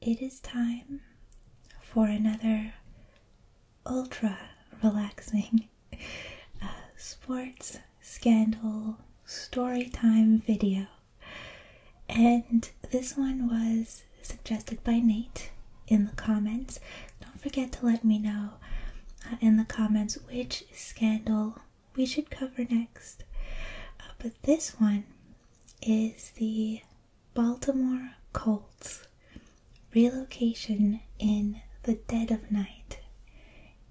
It is time for another ultra relaxing uh, sports scandal story time video. And this one was suggested by Nate in the comments. Don't forget to let me know uh, in the comments which scandal we should cover next. Uh, but this one is the Baltimore Colts relocation in the dead of night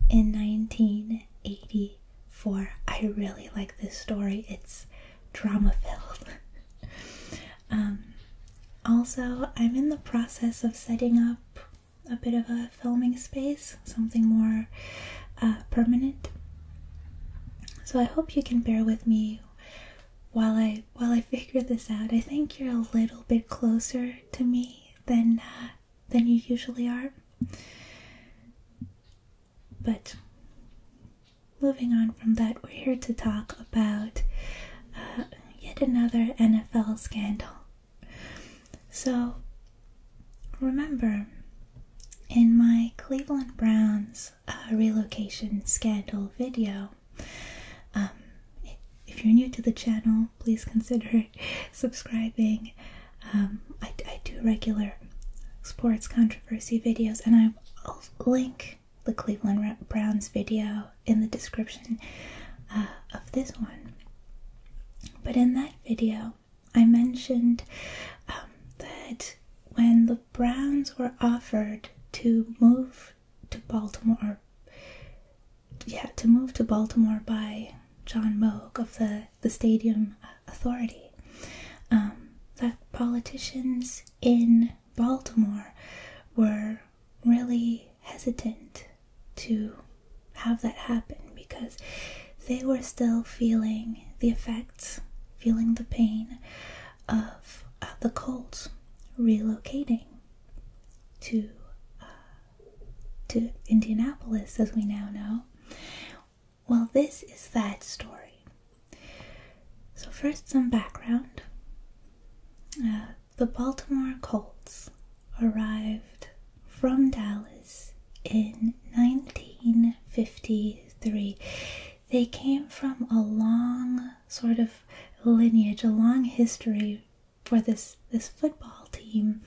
in 1984. I really like this story, it's drama filled. um, also, I'm in the process of setting up a bit of a filming space, something more uh, permanent. So I hope you can bear with me while I while I figure this out. I think you're a little bit closer to me than uh, than you usually are. But moving on from that, we're here to talk about uh, yet another NFL scandal. So remember in my Cleveland Browns this relocation scandal video. Um, if you're new to the channel, please consider subscribing. Um, I, do regular sports controversy videos, and I will link the Cleveland Browns video in the description uh, of this one. But in that video, I mentioned um, that when the Browns were offered to move to Baltimore. Yeah, to move to Baltimore by John Moog of the the Stadium Authority. Um, that politicians in Baltimore were really hesitant to have that happen because they were still feeling the effects feeling the pain of uh, the Colts relocating to uh, to Indianapolis, as we now know. Well, this is that story. So first, some background. Uh, the Baltimore Colts arrived from Dallas in 1953 they came from a long sort of lineage, a long history for this this football team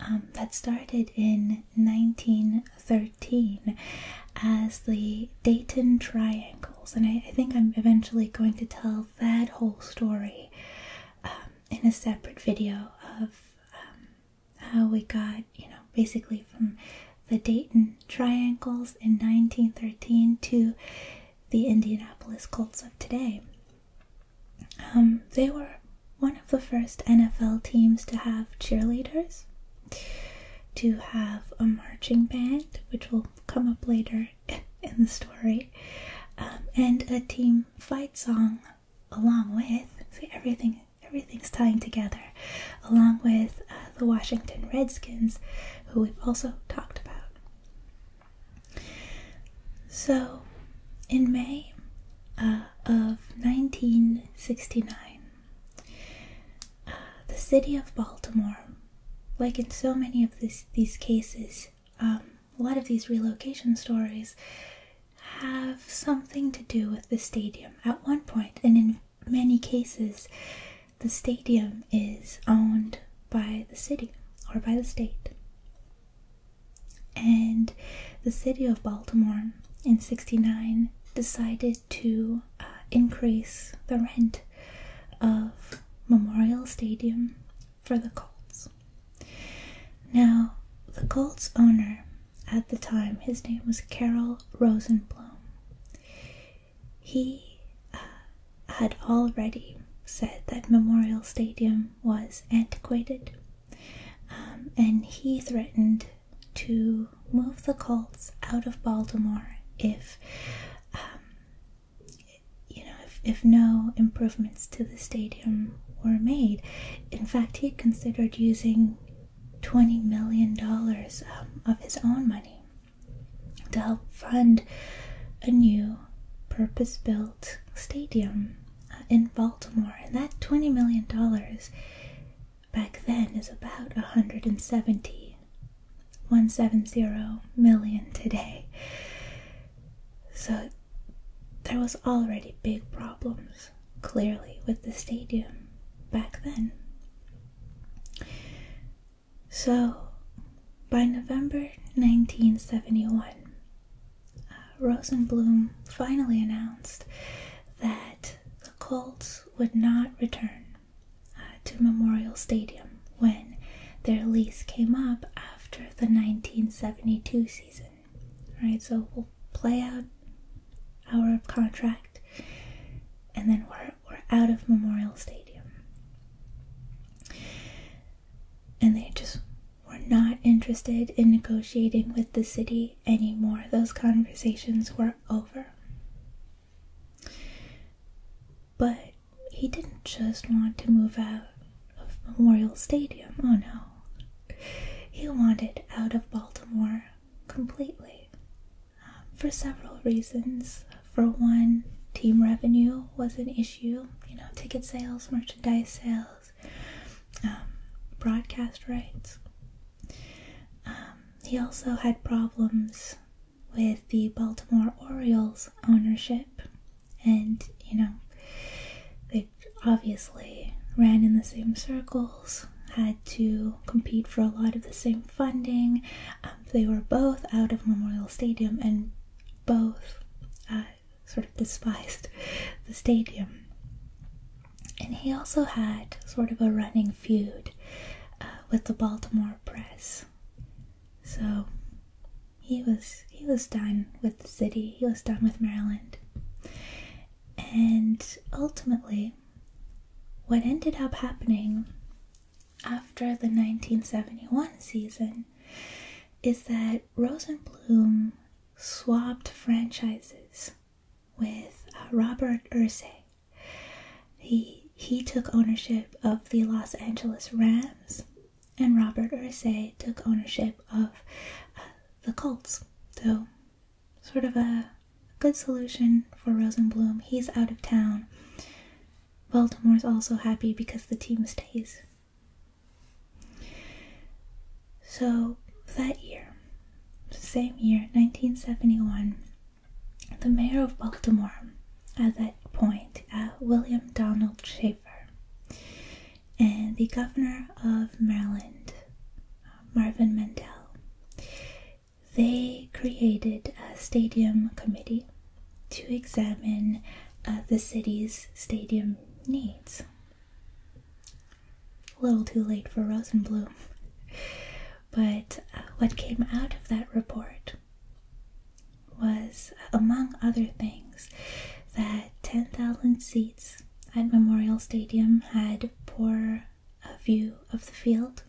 um, that started in 1913 as the Dayton Triangles, and I, think I'm eventually going to tell that whole story um, in a separate video of um, how we got, you know, basically from the Dayton Triangles in 1913 to the Indianapolis Colts of today. Um, they were one of the first NFL teams to have cheerleaders, to have a marching band, which will come up later in the story, um, and a team fight song along with. See, everything everything's tying together, along with uh, the Washington Redskins, who we've also talked about. So, in May uh, of 1969, uh, the city of Baltimore, like in so many of these cases, um, a lot of these relocation stories have something to do with the stadium. At one point, in many cases, the stadium is owned by the city or by the state. And the city of Baltimore in 69 decided to uh, increase the rent of Memorial Stadium for the Colts. Now, the Colts owner at the time, his name was Carol Rosenblum. He uh, had already said that Memorial Stadium was antiquated, um, and he threatened to move the Colts out of Baltimore if, um, you know, if no improvements to the stadium were made. In fact, he considered using $20 million um, of his own money to help fund a new purpose built stadium uh, in Baltimore. And that $20 million back then is about 170 170 million today. So there was already big problems clearly with the stadium back then. So, by November 1971, uh, Rosenblum finally announced that the Colts would not return uh, to Memorial Stadium when their lease came up after the 1972 season. Right, so we'll play out our contract, and then we're, we're out of Memorial Stadium. And they just were not interested in negotiating with the city anymore. Those conversations were over. But he didn't just want to move out of Memorial Stadium, oh no. He wanted out of Baltimore completely for several reasons. For one, team revenue was an issue, you know, ticket sales, merchandise sales, um, broadcast rights. Um, he also had problems with the Baltimore Orioles ownership, and you know, they obviously ran in the same circles had to compete for a lot of the same funding. Um, they were both out of Memorial Stadium and both uh, sort of despised the stadium. And he also had sort of a running feud uh, with the Baltimore press. So he was he was done with the city. He was done with Maryland. And ultimately, what ended up happening after the 1971 season is that Rosenblum swapped franchises with uh, Robert Ursay. He, he took ownership of the Los Angeles Rams, and Robert Ursay took ownership of uh, the Colts. So sort of a good solution for Rosenblum. He's out of town. Baltimore's also happy because the team stays. So that year, same year, 1971, the mayor of Baltimore at that point, uh, William Donald Schaefer, and the governor of Maryland, uh, Marvin Mandel they created a stadium committee to examine uh, the city's stadium needs. A little too late for Rosenblum. But uh, what came out of that report was, among other things, that 10,000 seats at Memorial Stadium had poor a view of the field.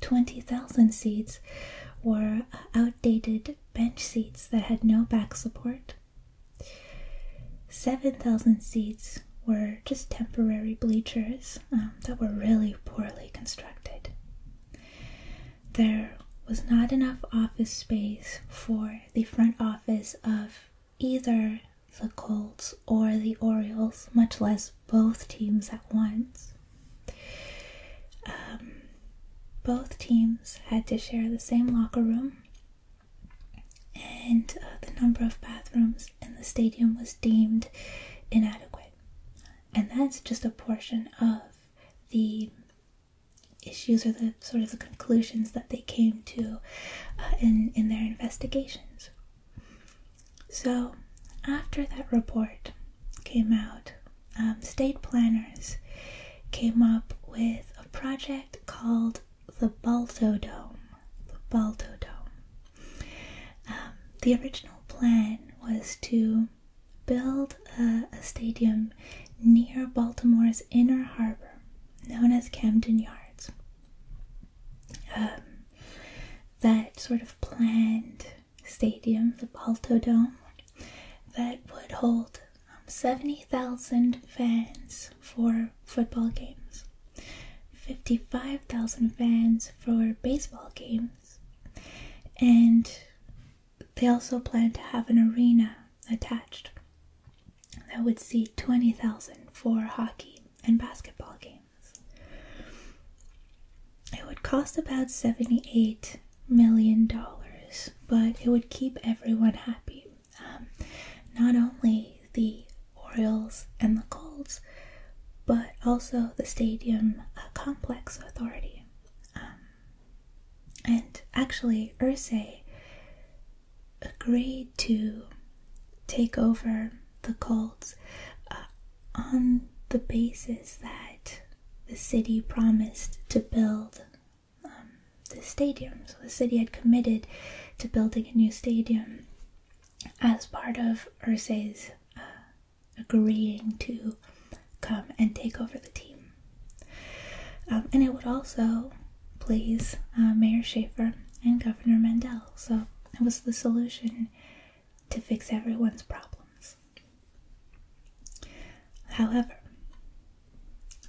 20,000 seats were outdated bench seats that had no back support. 7,000 seats were just temporary bleachers um, that were really poorly constructed. There was not enough office space for the front office of either the Colts or the Orioles, much less both teams at once. Um, both teams had to share the same locker room, and uh, the number of bathrooms in the stadium was deemed inadequate. And that's just a portion of the issues or the sort of the conclusions that they came to uh, in in their investigations. So, after that report came out, um, state planners came up with a project called the Balto Dome. The Balto Dome. Um, the original plan was to build a stadium near Baltimore's Inner Harbor, known as Camden Yards. Um, that sort of planned stadium, the Balto Dome, that would hold um, 70,000 fans for football games, 55,000 fans for baseball games, and they also plan to have an arena attached that would seat 20,000 for hockey and basketball games. It would cost about $78 million, but it would keep everyone happy. Um, not only the Orioles and the Colts, but also the Stadium uh, Complex Authority. Um, and actually, Ursay agreed to take over the cults uh, on the basis that the city promised to build um, the stadium. So the city had committed to building a new stadium as part of Ursay's uh, agreeing to come and take over the team. Um, and it would also please uh, Mayor Schaefer and Governor Mandel. So it was the solution to fix everyone's problems. However,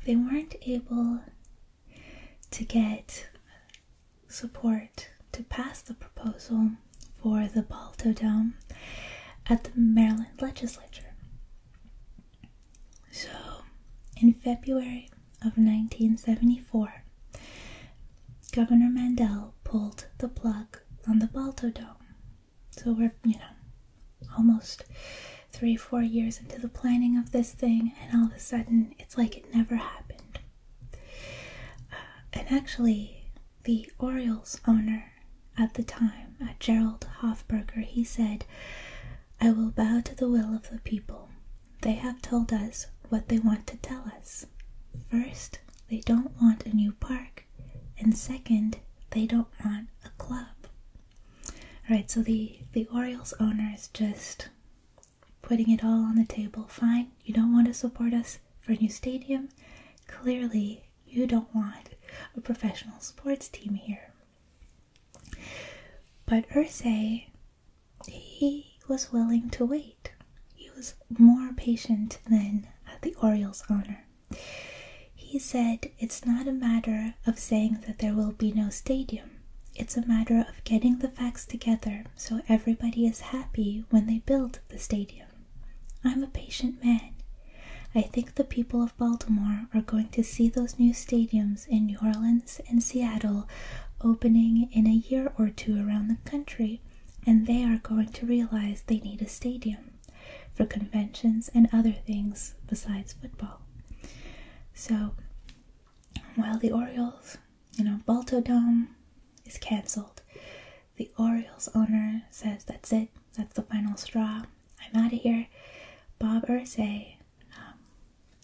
they weren't able to get support to pass the proposal for the Balto Dome at the Maryland legislature. So, in February of 1974, Governor Mandel pulled the plug on the Balto Dome. So we're, you know, almost three, four years into the planning of this thing, and all of a sudden it's like it never happened. Uh, and actually, the Orioles owner at the time, uh, Gerald Hofberger, he said, I will bow to the will of the people. They have told us what they want to tell us. First, they don't want a new park, and second, they don't want a club. All right, so the the Orioles owner is just putting it all on the table. Fine, you don't want to support us for a new stadium. Clearly, you don't want a professional sports team here. But Ursay he was willing to wait. He was more patient than at the Orioles' honor. He said, It's not a matter of saying that there will be no stadium. It's a matter of getting the facts together so everybody is happy when they build the stadium. I'm a patient man. I think the people of Baltimore are going to see those new stadiums in New Orleans and Seattle opening in a year or two around the country and they are going to realize they need a stadium for conventions and other things besides football. So, while the Orioles, you know, Balto Dome is canceled, the Orioles owner says, That's it, that's the final straw, I'm out of here. Bob Ursay, um,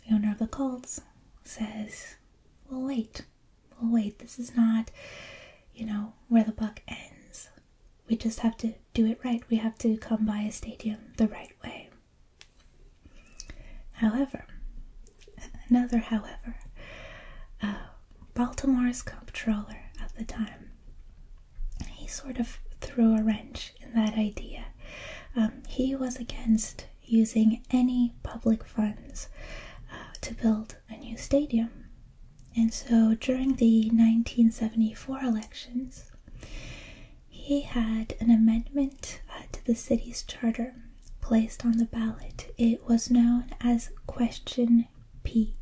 the owner of the Colts, says, we'll wait, well, oh, wait, this is not, you know, where the buck ends. We just have to do it right. We have to come by a stadium the right way. However, another however, uh, Baltimore's comptroller at the time, he sort of threw a wrench in that idea. Um, he was against using any public funds uh, to build a new stadium. And so during the 1974 elections, he had an amendment uh, to the city's charter placed on the ballot. It was known as Question P.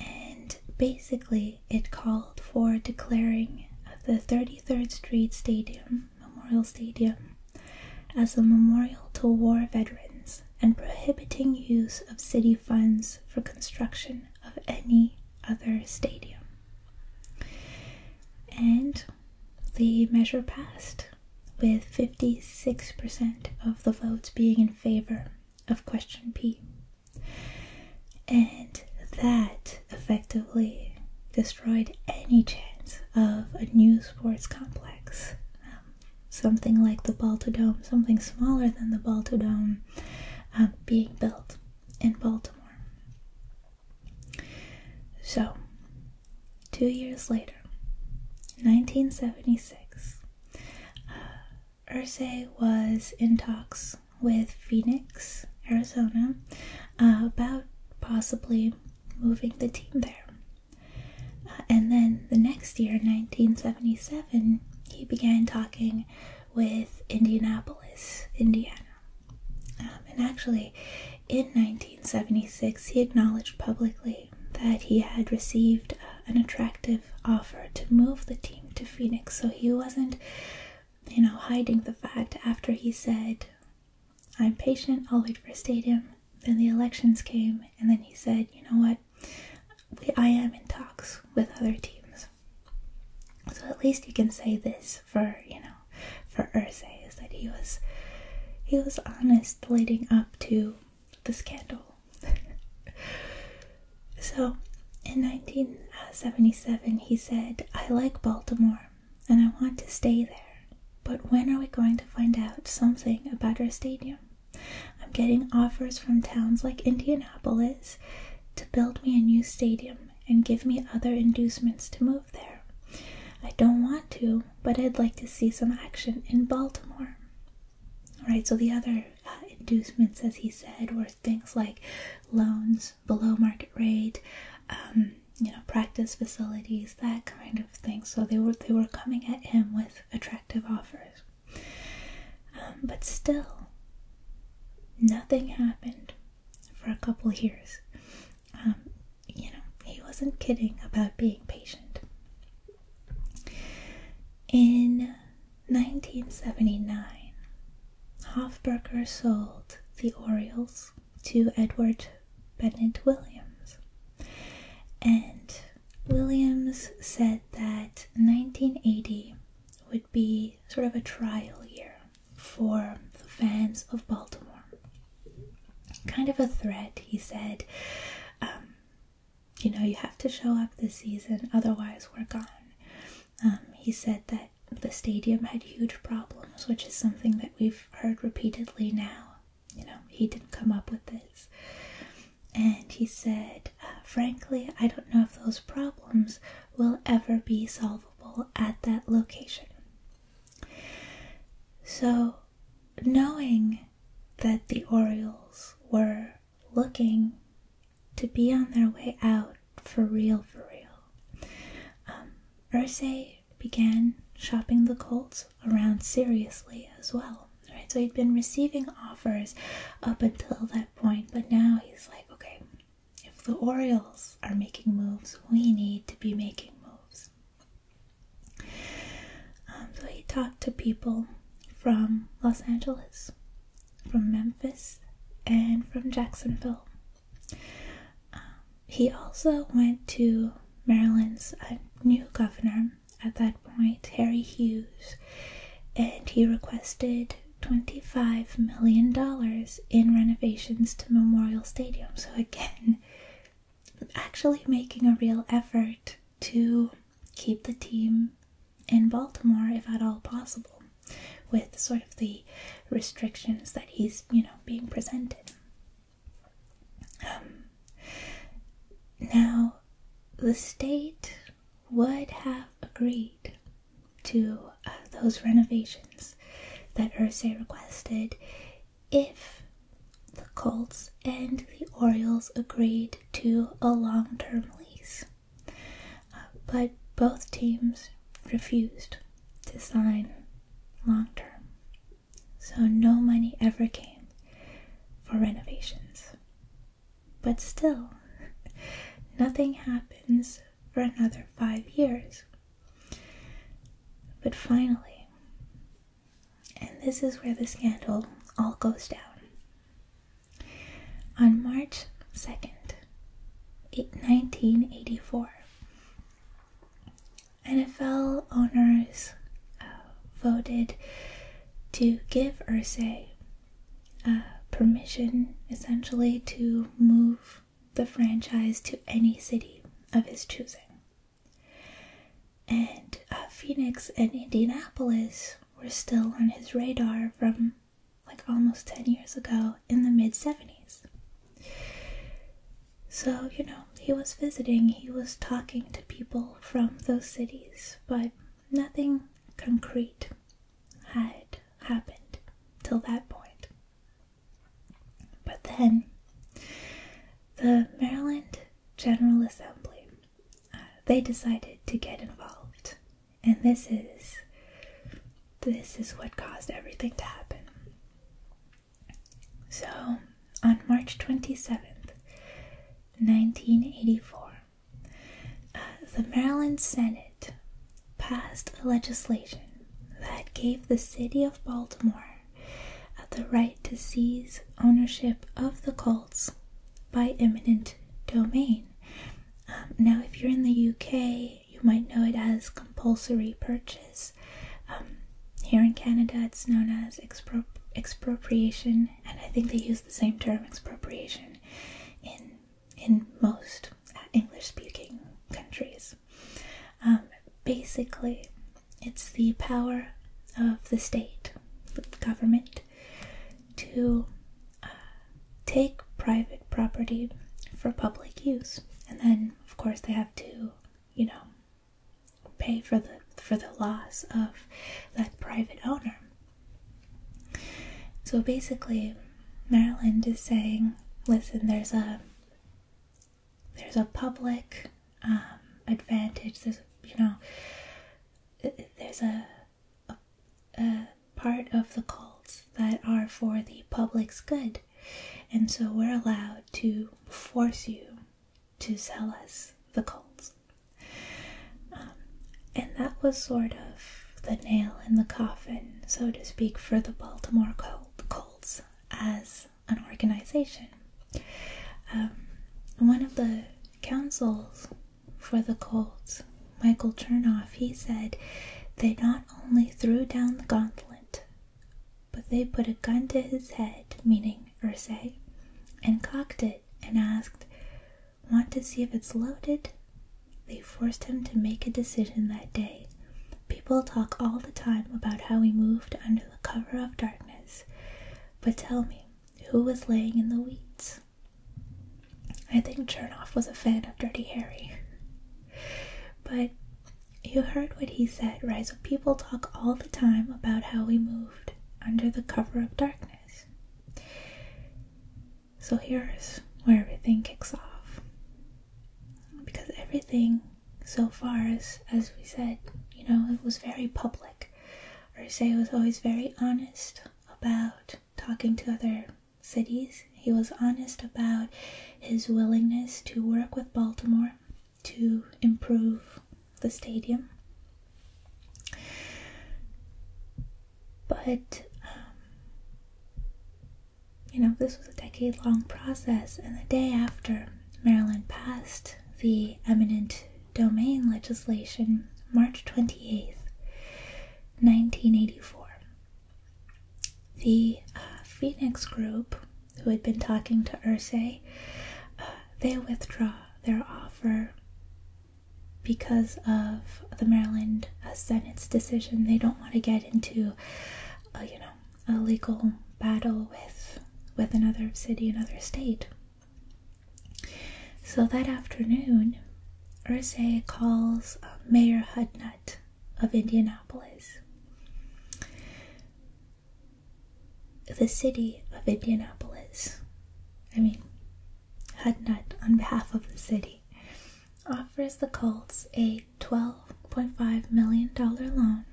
And basically, it called for declaring the 33rd Street Stadium Memorial Stadium as a memorial to war veterans and prohibiting use of city funds for construction of any other stadium. And the measure passed, with 56% of the votes being in favor of question P. And that effectively destroyed any chance of a new sports complex. Um, something like the Baltodome, something smaller than the Baltodome, uh, um, being built in Baltimore. So, two years later, 1976, uh, was in talks with Phoenix, Arizona, uh, about possibly moving the team there. Uh, and then the next year, 1977, he began talking with Indianapolis, Indiana. Um, and actually, in 1976, he acknowledged publicly that he had received uh, an attractive offer to move the team to Phoenix. So he wasn't, you know, hiding the fact after he said, I'm patient, I'll wait for a stadium. Then the elections came, and then he said, you know what? I am in talks with other teams. So at least you can say this for, you know, for Ursay is that he was he was honest leading up to the scandal. so in 1977, he said, I like Baltimore and I want to stay there. But when are we going to find out something about our stadium? I'm getting offers from towns like Indianapolis to build me a new stadium and give me other inducements to move there. I don't want to, but I'd like to see some action in Baltimore. Right. so the other uh, inducements, as he said, were things like loans below market rate, um, you know, practice facilities, that kind of thing. So they were they were coming at him with attractive offers. Um, but still, nothing happened for a couple years. Um, you know, he wasn't kidding about being patient. In 1979, Hofberger sold the Orioles to Edward Bennett Williams. And Williams said that 1980 would be sort of a trial year for the fans of Baltimore. Kind of a threat, he said. Um, you know, you have to show up this season, otherwise, we're gone. Um, he said that the stadium had huge problems, which is something that we've heard repeatedly now you know, he didn't come up with this. And he said, uh, frankly, I don't know if those problems will ever be solvable at that location. So, knowing that the Orioles were looking to be on their way out for real, for real, um, Ursay began shopping the Colts around seriously as well. Right? So he'd been receiving offers up until that point, but now he's like, okay, if the Orioles are making moves, we need to be making moves. Um, so he talked to people from Los Angeles, from Memphis, and from Jacksonville. Um, he also went to Maryland's uh, new governor at that point, Harry Hughes, and he requested $25 million in renovations to Memorial Stadium. So, again, actually making a real effort to keep the team in Baltimore if at all possible with sort of the restrictions that he's, you know, being presented. Um, now, the state would have agreed to uh, those renovations that Ursay requested if the Colts and the Orioles agreed to a long term lease. Uh, but both teams refused to sign long term so no money ever came for renovations. But still, nothing happens for another five years. But finally, and this is where the scandal all goes down. On March 2nd, 1984, NFL owners uh, voted to give Ursay uh, permission essentially to move the franchise to any city of his choosing. And uh, Phoenix and Indianapolis were still on his radar from like almost 10 years ago in the mid 70s. So, you know, he was visiting, he was talking to people from those cities, but nothing concrete had happened till that point. But then, the Maryland General Assembly, uh, they decided to get involved, and this is this is what caused everything to happen. So, on March 27th, 1984, uh, the Maryland Senate passed a legislation that gave the city of Baltimore uh, the right to seize ownership of the Colts by eminent domain. Um, now, if you're in the UK, you might know it as compulsory purchase um, here in Canada, it's known as expropriation, and I think they use the same term expropriation in in most uh, English-speaking countries. Um, basically, it's the power of the state, the government, to uh, take private property for public use, and then of course they have to, you know, pay for the for the loss of that private owner. So basically, Maryland is saying, listen, there's a there's a public um, advantage. There's you know there's a, a, a part of the cults that are for the public's good, and so we're allowed to force you to sell us the Colts, um, and that was sort of the nail in the coffin, so to speak, for the Baltimore Colts as an organization. Um, one of the councils for the Colts, Michael Turnoff, he said they not only threw down the gauntlet but they put a gun to his head, meaning Ursay, and cocked it and asked, Want to see if it's loaded? They forced him to make a decision that day. People talk all the time about how we moved under the cover of darkness. But tell me, who was laying in the weeds? I think Chernoff was a fan of Dirty Harry. But you heard what he said, right? So people talk all the time about how we moved under the cover of darkness. So here's where everything kicks off. Because everything so far is, as we said, you know, it was very public. Ursay was always very honest about talking to other cities. He was honest about his willingness to work with Baltimore to improve the stadium. But, um, you know, this was a decade long process, and the day after Maryland passed the eminent domain legislation, March 28th, 1984, the uh, Phoenix Group, who had been talking to Ursay, uh, they withdraw their offer because of the Maryland Senate's decision. They don't want to get into, you know, a legal battle with with another city, another state. So that afternoon, Ursay calls uh, Mayor Hudnut of Indianapolis the city of Indianapolis, I mean, HUDNUT on behalf of the city, offers the Colts a $12.5 million loan,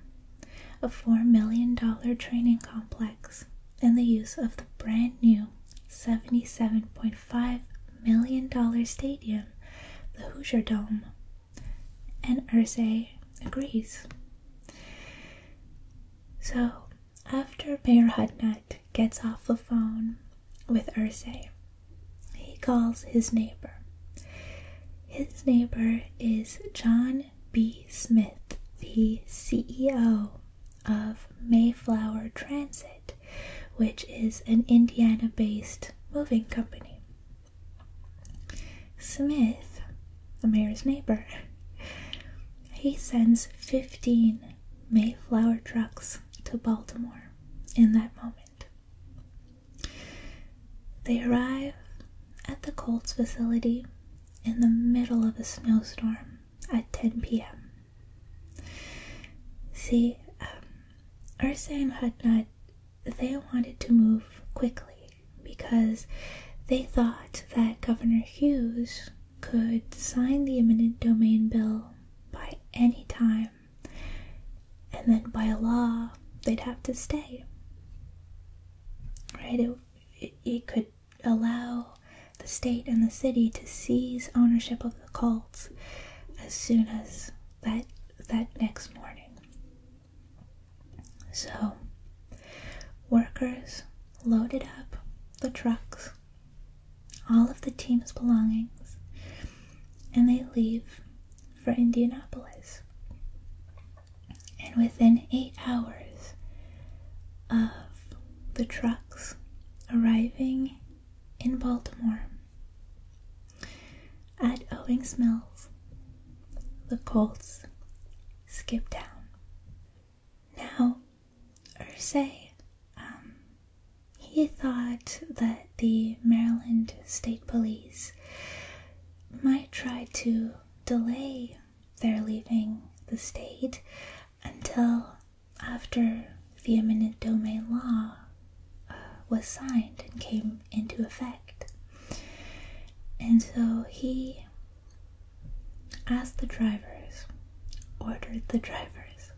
a $4 million training complex, and the use of the brand new $77.5 million stadium, the Hoosier Dome. And Ursay agrees. So, after Mayor Hudnut gets off the phone with Ursay, he calls his neighbor. His neighbor is John B. Smith, the CEO of Mayflower Transit, which is an Indiana based moving company. Smith the mayor's neighbor. He sends 15 Mayflower trucks to Baltimore in that moment. They arrive at the Colts facility in the middle of a snowstorm at 10 p.m. See, um, Ursa and Hutnut, they wanted to move quickly because they thought that Governor Hughes could sign the eminent domain bill by any time, and then by law they'd have to stay. Right? It, could allow the state and the city to seize ownership of the cults as soon as that that next morning. So, workers loaded up the trucks, all of the team's belongings, and they leave for Indianapolis. And within eight hours of the trucks arriving in Baltimore, at Owings Mills, the Colts skip down. Now, Ursay, um, he thought that the Maryland State Police might try to delay their leaving the state until after the eminent domain law uh, was signed and came into effect. And so he Ask the drivers, ordered the drivers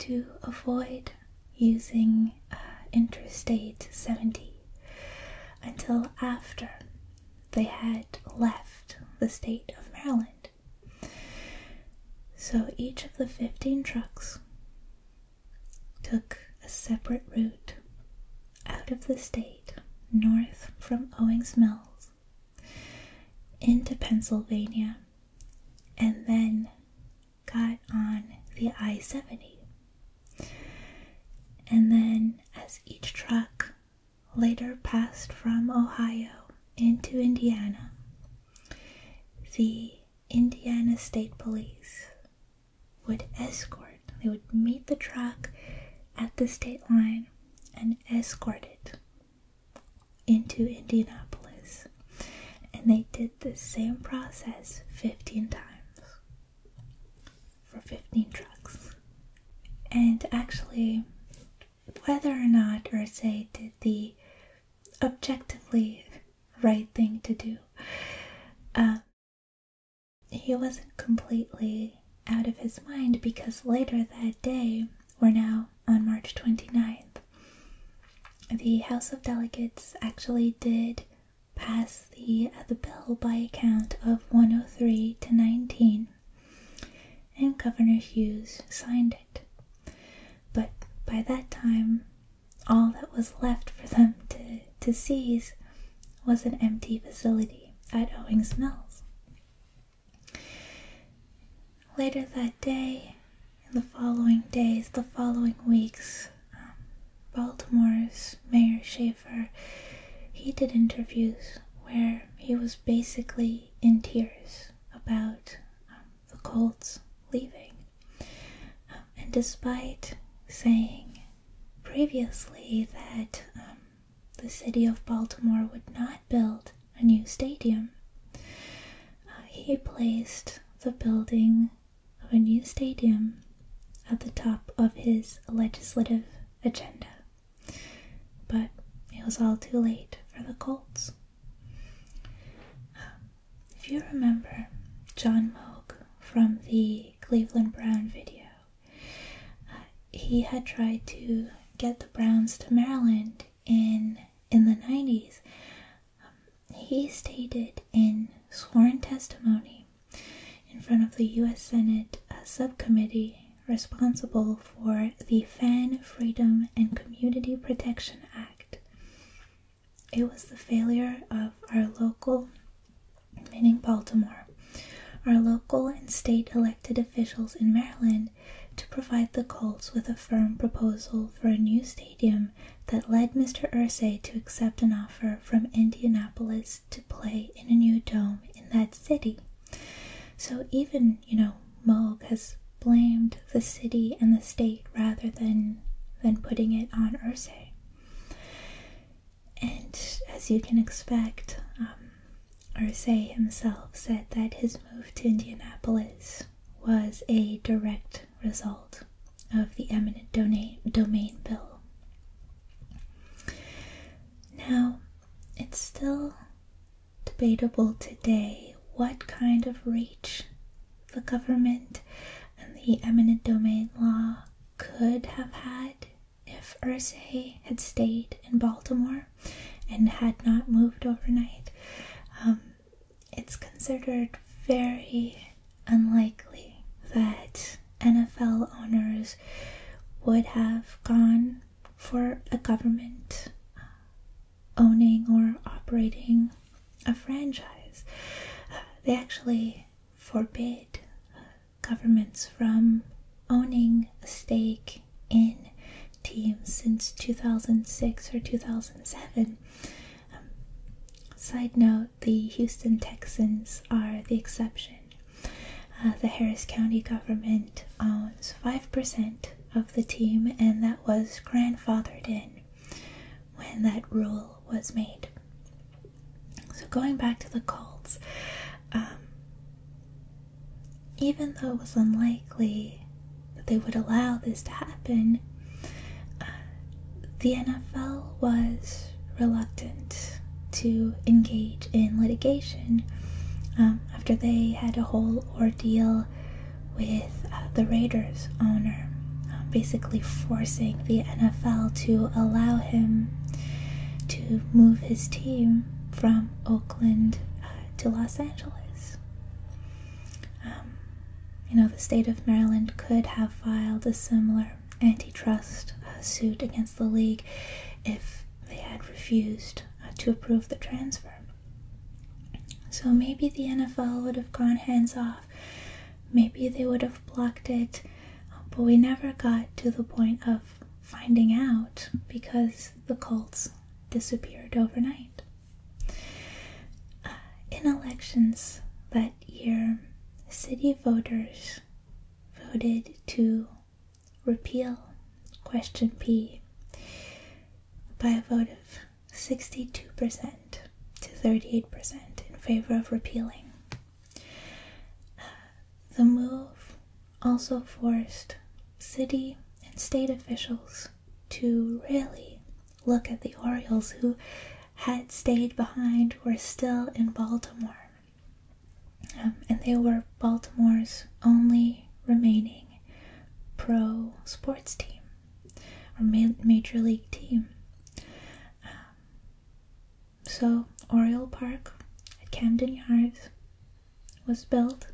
to avoid using uh, Interstate 70 until after they had left the state of Maryland. So each of the 15 trucks took a separate route out of the state, north from Owings Mills, into Pennsylvania, and then got on the I 70. And then, as each truck later passed from Ohio into Indiana, the Indiana State Police would escort, they would meet the truck at the state line and escort it into Indianapolis. And they did the same process 15 times for 15 trucks. And actually, whether or not or say, did the objectively right thing to do, uh, he wasn't completely out of his mind because later that day, or now on March 29th, the House of Delegates actually did pass the, the bill by a count of 103 to 19, and Governor Hughes signed it. But by that time, all that was left for them to, to seize was an empty facility at Owings Mills. Later that day, and the following days, the following weeks, um, Baltimore's Mayor Schaefer, he did interviews where he was basically in tears about um, the Colts leaving. Um, and despite saying previously that the city of Baltimore would not build a new stadium. Uh, he placed the building of a new stadium at the top of his legislative agenda. But it was all too late for the Colts. Um, if you remember John Moog from the Cleveland Brown video, uh, he had tried to get the Browns to Maryland in in the 90s. Um, he stated in sworn testimony in front of the U.S. Senate a uh, subcommittee responsible for the Fan Freedom and Community Protection Act. It was the failure of our local meaning Baltimore, are local and state elected officials in Maryland to provide the Colts with a firm proposal for a new stadium that led Mr. Ursay to accept an offer from Indianapolis to play in a new dome in that city. So even, you know, Mulg has blamed the city and the state rather than than putting it on Ursay. And as you can expect, um, himself said that his move to Indianapolis was a direct result of the eminent domain bill. Now, it's still debatable today what kind of reach the government and the eminent domain law could have had if Ursay had stayed in Baltimore and had not moved overnight, um, it's considered very unlikely that NFL owners would have gone for a government uh, owning or operating a franchise. Uh, they actually forbid uh, governments from owning a stake in teams since 2006 or 2007. Um, side note the Houston Texans are the exception. Uh, the Harris County government owns 5% of the team, and that was grandfathered in when that rule was made. So, going back to the cults, um, even though it was unlikely that they would allow this to happen, uh, the NFL was reluctant to engage in litigation um, after they had a whole ordeal with uh, the Raiders owner, um, basically forcing the NFL to allow him to move his team from Oakland uh, to Los Angeles. Um, you know, the state of Maryland could have filed a similar antitrust uh, suit against the league if they had refused uh, to approve the transfer. So maybe the NFL would have gone hands off, maybe they would have blocked it, but we never got to the point of finding out because the cults disappeared overnight. Uh, in elections that year, city voters voted to repeal Question P by a vote of 62% to 38% in favor of repealing. Uh, the move also forced city and state officials to really look at the Orioles who had stayed behind, were still in Baltimore. Um, and they were Baltimore's only remaining pro sports team or major league team. Um, so, Oriole Park at Camden Yards was built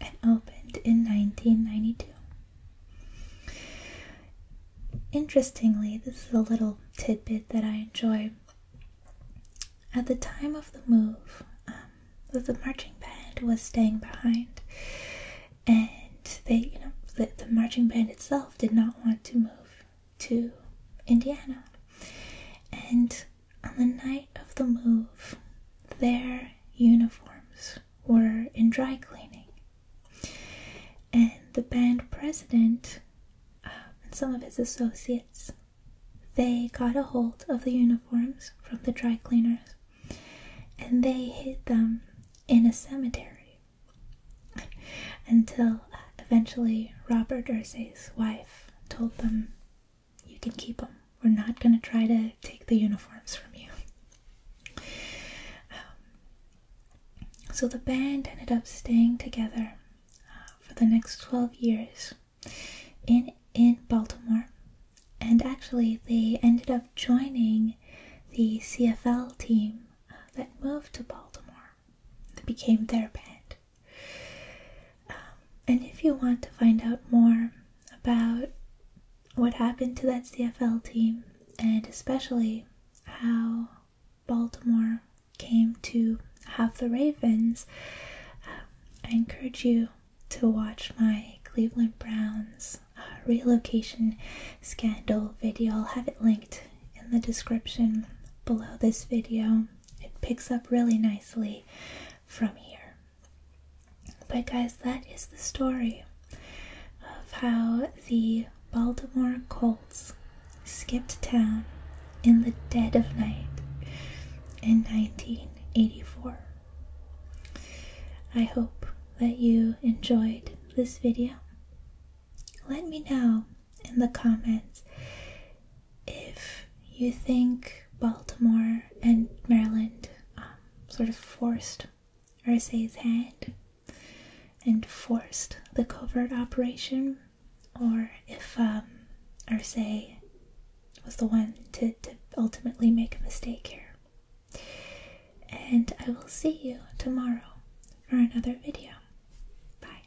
and opened in 1992. Interestingly, this is a little tidbit that I enjoy. At the time of the move, um, the marching band was staying behind, and they, you know, the, the marching band itself did not want to move to Indiana, and on the night of the move, their uniforms were in dry cleaning, and the band president um, and some of his associates they got a hold of the uniforms from the dry cleaners and they hid them in a cemetery until uh, eventually Robert Ursay's wife told them, you can keep them. We're not going to try to take the uniforms from you. Um, so the band ended up staying together uh, for the next 12 years in, in Baltimore. And actually, they ended up joining the CFL team uh, that moved to Baltimore that became their band. Um, and if you want to find out more about what happened to that CFL team and especially how Baltimore came to have the Ravens, um, I encourage you to watch my Cleveland Browns uh, relocation scandal video. I'll have it linked in the description below this video it picks up really nicely from here. But, guys, that is the story of how the Baltimore Colts skipped town in the dead of night in 1984. I hope that you enjoyed this video. Let me know in the comments if you think Baltimore and Maryland um, sort of forced Ursa's hand and forced the covert operation, or if um, was the one to, to ultimately make a mistake here. And I will see you tomorrow for another video. Bye.